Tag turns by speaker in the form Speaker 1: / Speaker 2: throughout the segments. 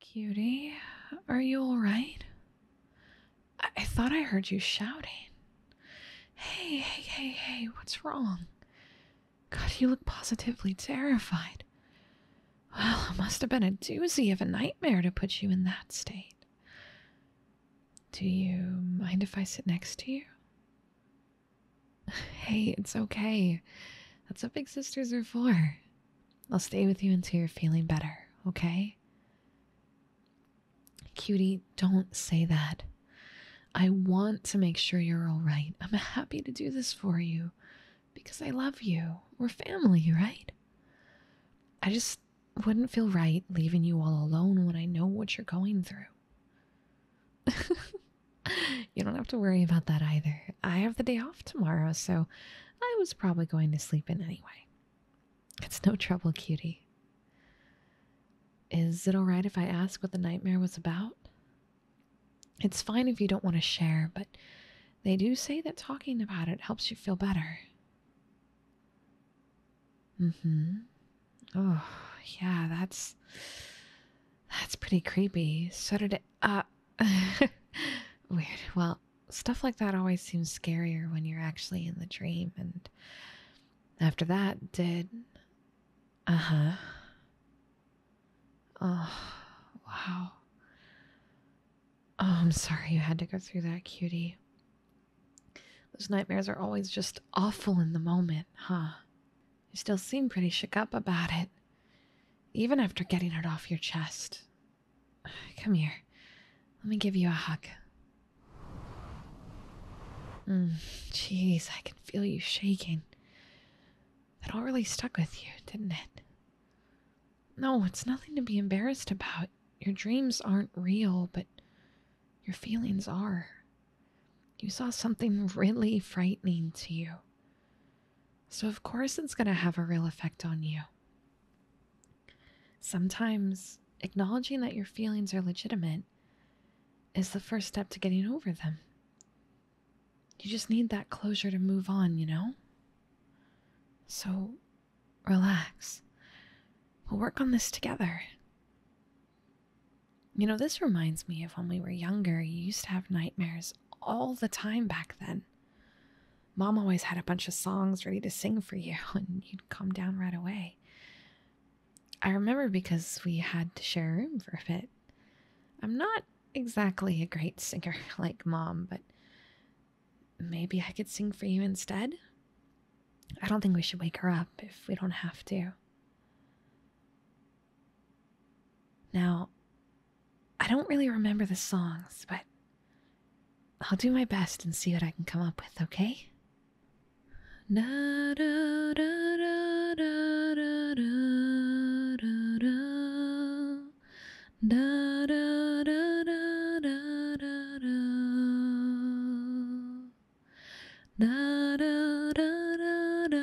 Speaker 1: Cutie, are you alright? I-, thought I heard you shouting. Hey, hey, hey, hey, what's wrong? God, you look positively terrified. Well, it must have been a doozy of a nightmare to put you in that state. Do you mind if I sit next to you? Hey, it's okay. That's what big sisters are for. I'll stay with you until you're feeling better, okay? Cutie, don't say that. I want to make sure you're all right. I'm happy to do this for you because I love you. We're family, right? I just wouldn't feel right leaving you all alone when I know what you're going through. you don't have to worry about that either. I have the day off tomorrow, so I was probably going to sleep in anyway. It's no trouble, cutie. Is it alright if I ask what the nightmare was about? It's fine if you don't want to share, but they do say that talking about it helps you feel better. Mm hmm. Oh, yeah, that's. That's pretty creepy. Shuddered it uh, Weird. Well, stuff like that always seems scarier when you're actually in the dream. And after that, did. Uh huh. Oh, wow. Oh, I'm sorry you had to go through that, cutie. Those nightmares are always just awful in the moment, huh? You still seem pretty shook up about it. Even after getting it off your chest. Come here. Let me give you a hug. Mm, jeez, I can feel you shaking. That all really stuck with you, didn't it? No, it's nothing to be embarrassed about. Your dreams aren't real, but your feelings are. You saw something really frightening to you. So, of course, it's going to have a real effect on you. Sometimes acknowledging that your feelings are legitimate is the first step to getting over them. You just need that closure to move on, you know? So, relax. We'll work on this together. You know, this reminds me of when we were younger, you used to have nightmares all the time back then. Mom always had a bunch of songs ready to sing for you, and you'd come down right away. I remember because we had to share a room for a bit. I'm not exactly a great singer like mom, but maybe I could sing for you instead. I don't think we should wake her up if we don't have to. Now, I don't really remember the songs, but I'll do my best and see what I can come up with, okay?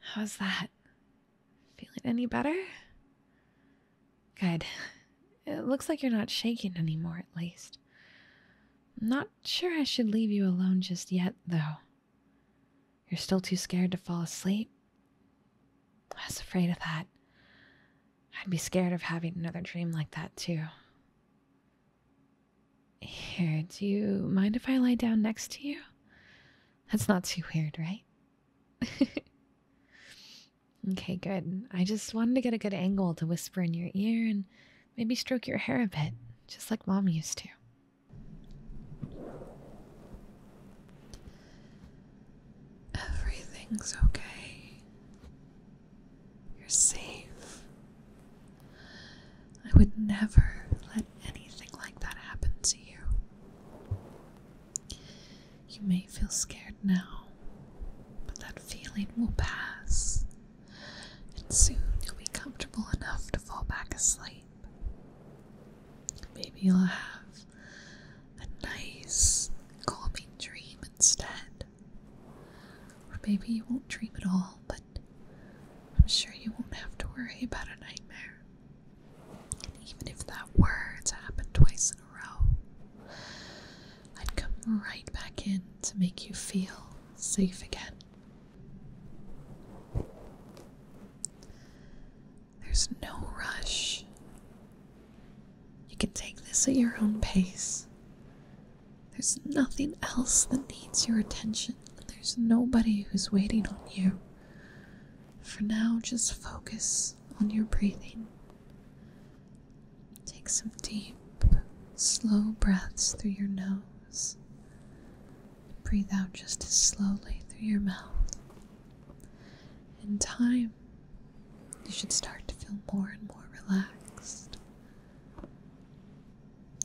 Speaker 1: How's that? Feeling any better? Good. It looks like you're not shaking anymore, at least. not sure I should leave you alone just yet, though. You're still too scared to fall asleep? I was afraid of that. I'd be scared of having another dream like that, too. Here, do you mind if I lie down next to you? That's not too weird, right? okay, good. I just wanted to get a good angle to whisper in your ear and maybe stroke your hair a bit, just like mom used to. Everything's okay. You're safe. I would never let anything like that happen to you. You may feel scared now, but that feeling will pass, and soon you'll be comfortable enough to fall back asleep. Maybe you'll have a nice, calming dream instead. Or maybe you won't dream at all, but I'm sure you won't have to worry about a nightmare. even if that were to happen twice in a row, I'd come right back in to make you feel safe again. There's no rush, you can take this at your own pace. There's nothing else that needs your attention, and there's nobody who's waiting on you. For now, just focus on your breathing. Take some deep, slow breaths through your nose. Breathe out just as slowly through your mouth. In time, you should start to feel more and more relaxed.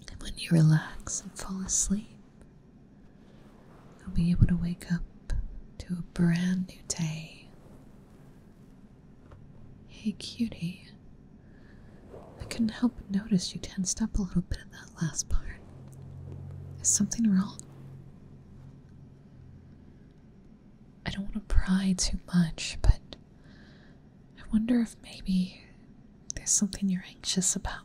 Speaker 1: And when you relax and fall asleep, you'll be able to wake up to a brand new day. Hey, cutie. I couldn't help but notice you tensed up a little bit in that last part. Is something wrong? I don't want to pry too much, but I wonder if maybe there's something you're anxious about.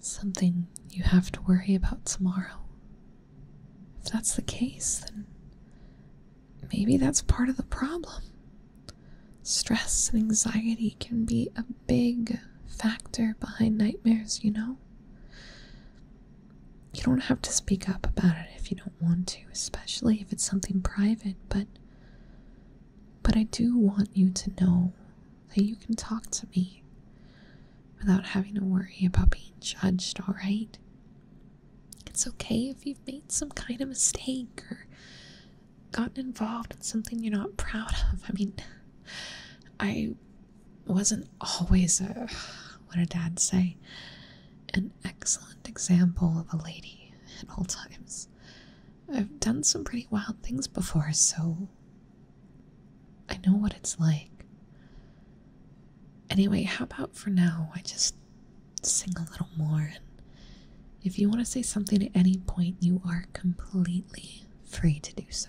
Speaker 1: Something you have to worry about tomorrow. If that's the case, then maybe that's part of the problem. Stress and anxiety can be a big factor behind nightmares, you know? You don't have to speak up about it if you don't want to, especially if it's something private, but but I do want you to know that you can talk to me without having to worry about being judged, all right? It's okay if you've made some kind of mistake or gotten involved in something you're not proud of. I mean, I wasn't always a what a dad say an excellent example of a lady at all times. I've done some pretty wild things before, so I know what it's like. Anyway, how about for now I just sing a little more and if you want to say something at any point, you are completely free to do so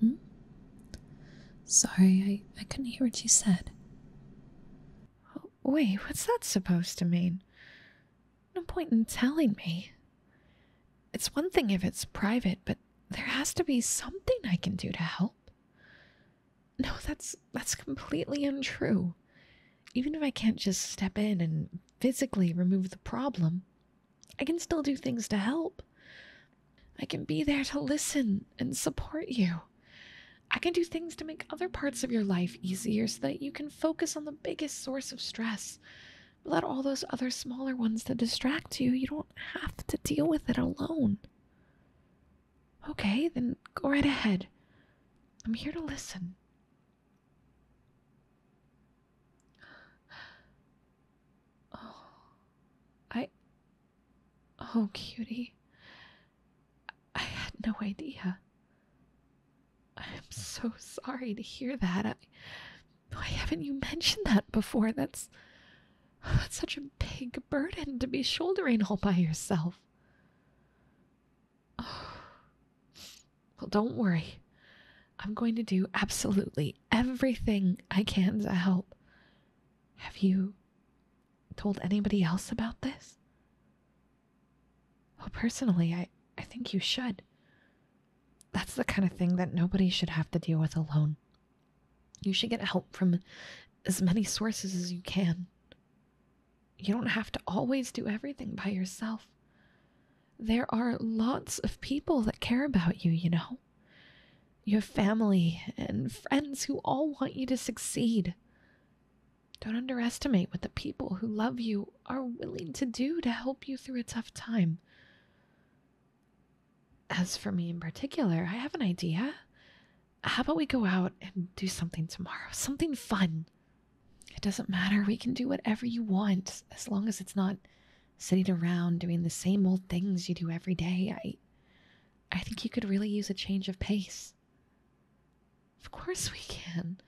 Speaker 1: Hmm? Sorry, I, I couldn't hear what you said. Oh, wait, what's that supposed to mean? No point in telling me. It's one thing if it's private, but there has to be something I can do to help. No, that's that's completely untrue. Even if I can't just step in and physically remove the problem, I can still do things to help. I can be there to listen and support you. I can do things to make other parts of your life easier so that you can focus on the biggest source of stress. Let all those other smaller ones that distract you, you don't have to deal with it alone. Okay, then go right ahead. I'm here to listen. Oh, I. Oh, cutie. I had no idea. I'm so sorry to hear that. why haven't you mentioned that before? That's. That's such a big burden to be shouldering all by yourself. Oh, well, don't worry. I'm going to do absolutely everything I can to help. Have you told anybody else about this? Oh, personally, I, I think you should. That's the kind of thing that nobody should have to deal with alone. You should get help from as many sources as you can. You don't have to always do everything by yourself there are lots of people that care about you, you know. Your family and friends who all want you to succeed. Don't underestimate what the people who love you are willing to do to help you through a tough time. As for me in particular, I have an idea. How about we go out and do something tomorrow? Something fun. It doesn't matter. We can do whatever you want as long as it's not sitting around doing the same old things you do every day. I I think you could really use a change of pace. Of course we can.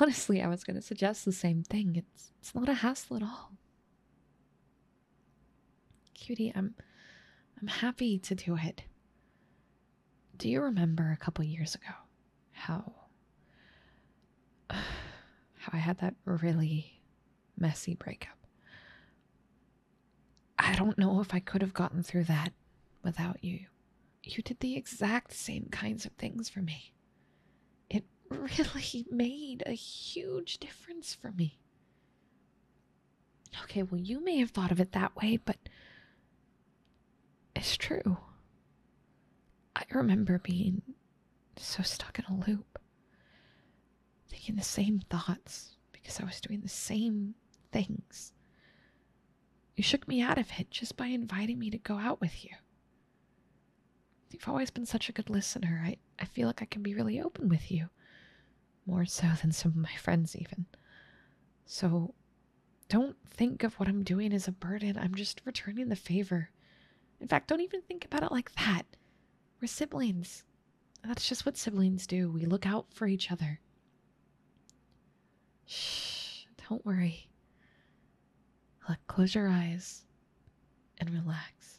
Speaker 1: Honestly, I was going to suggest the same thing. It's it's not a hassle at all. Cutie, I'm I'm happy to do it. Do you remember a couple years ago how how I had that really messy breakup. I don't know if I could have gotten through that without you. You did the exact same kinds of things for me. It really made a huge difference for me. Okay, well, you may have thought of it that way, but it's true. I remember being so stuck in a loop, thinking the same thoughts because I was doing the same things. You shook me out of it just by inviting me to go out with you. You've always been such a good listener. I, I feel like I can be really open with you, more so than some of my friends, even. So don't think of what I'm doing as a burden. I'm just returning the favor. In fact, don't even think about it like that. We're siblings. That's just what siblings do. We look out for each other. Shh, don't worry. Look, close your eyes and relax.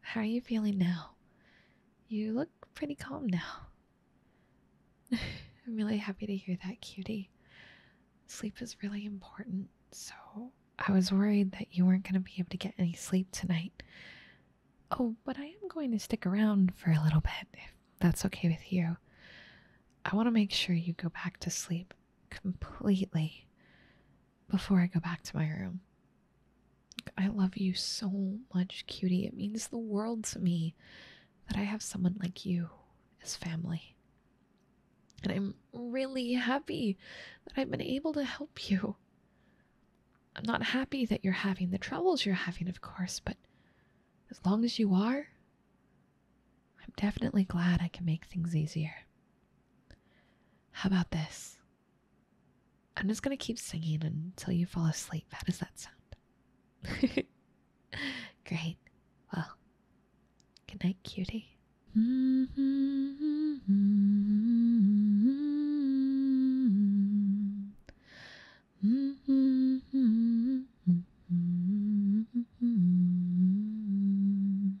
Speaker 1: How are you feeling now? You look pretty calm now. I'm really happy to hear that, cutie. Sleep is really important, so I was worried that you weren't going to be able to get any sleep tonight. Oh, but I am going to stick around for a little bit, if that's okay with you. I want to make sure you go back to sleep completely before I go back to my room. I love you so much, cutie. It means the world to me that I have someone like you as family. And I'm really happy that I've been able to help you. I'm not happy that you're having the troubles you're having, of course, but as long as you are, I'm definitely glad I can make things easier. How about this? I'm just gonna keep singing until you fall asleep. How does that sound? Great. Well, good night, cutie.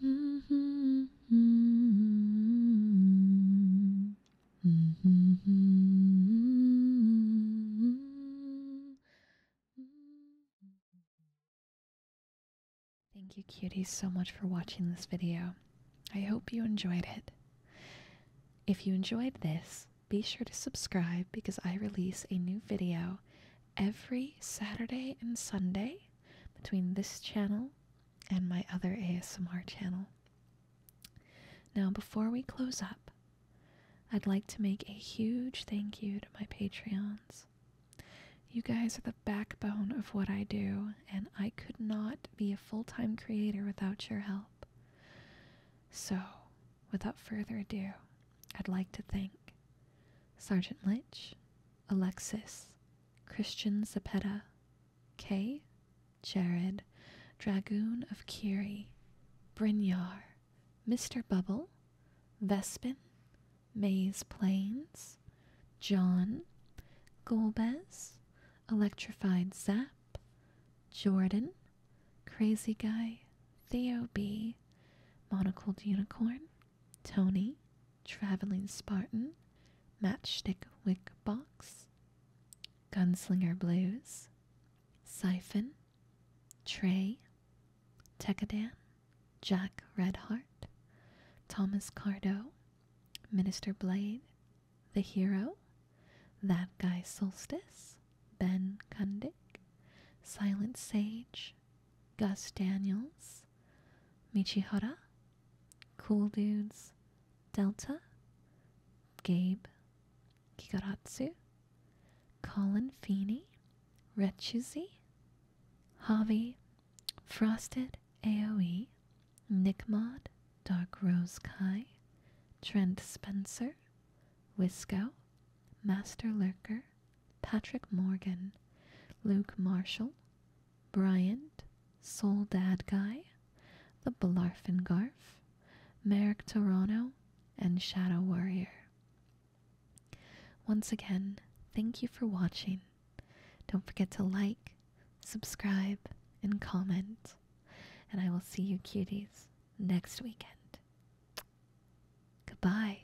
Speaker 2: Thank
Speaker 1: you, cuties, so much for watching this video. I hope you enjoyed it. If you enjoyed this, be sure to subscribe because I release a new video every Saturday and Sunday between this channel and my other ASMR channel. Now, before we close up, I'd like to make a huge thank you to my Patreons. You guys are the backbone of what I do, and I could not be a full time creator without your help. So, without further ado, I'd like to thank Sergeant Litch, Alexis, Christian Zepeda, Kay, Jared, Dragoon of Kiri, Brynjar, Mr. Bubble, Vespin, Maze Plains, John, Golbez, Electrified Zap, Jordan, Crazy Guy, Theo B, Monocled Unicorn, Tony, Traveling Spartan, Matchstick Wick Box, Gunslinger Blues, Siphon, Trey, Tekadan, Jack Redheart, Thomas Cardo, Minister Blade, The Hero, That Guy Solstice, Ben Kundik, Silent Sage, Gus Daniels, Michihara, Cool Dudes, Delta, Gabe, Kikaratsu, Colin Feeney, Retchuzi, Javi, Frosted AoE, Nickmod, Dark Rose Kai, Trent Spencer, Wisco, Master Lurker, Patrick Morgan, Luke Marshall, Bryant, Dad Guy, The Blarfengarf, Merrick Toronto, and Shadow Warrior. Once again, thank you for watching. Don't forget to like, subscribe, and comment. And I will see you cuties next weekend. Goodbye.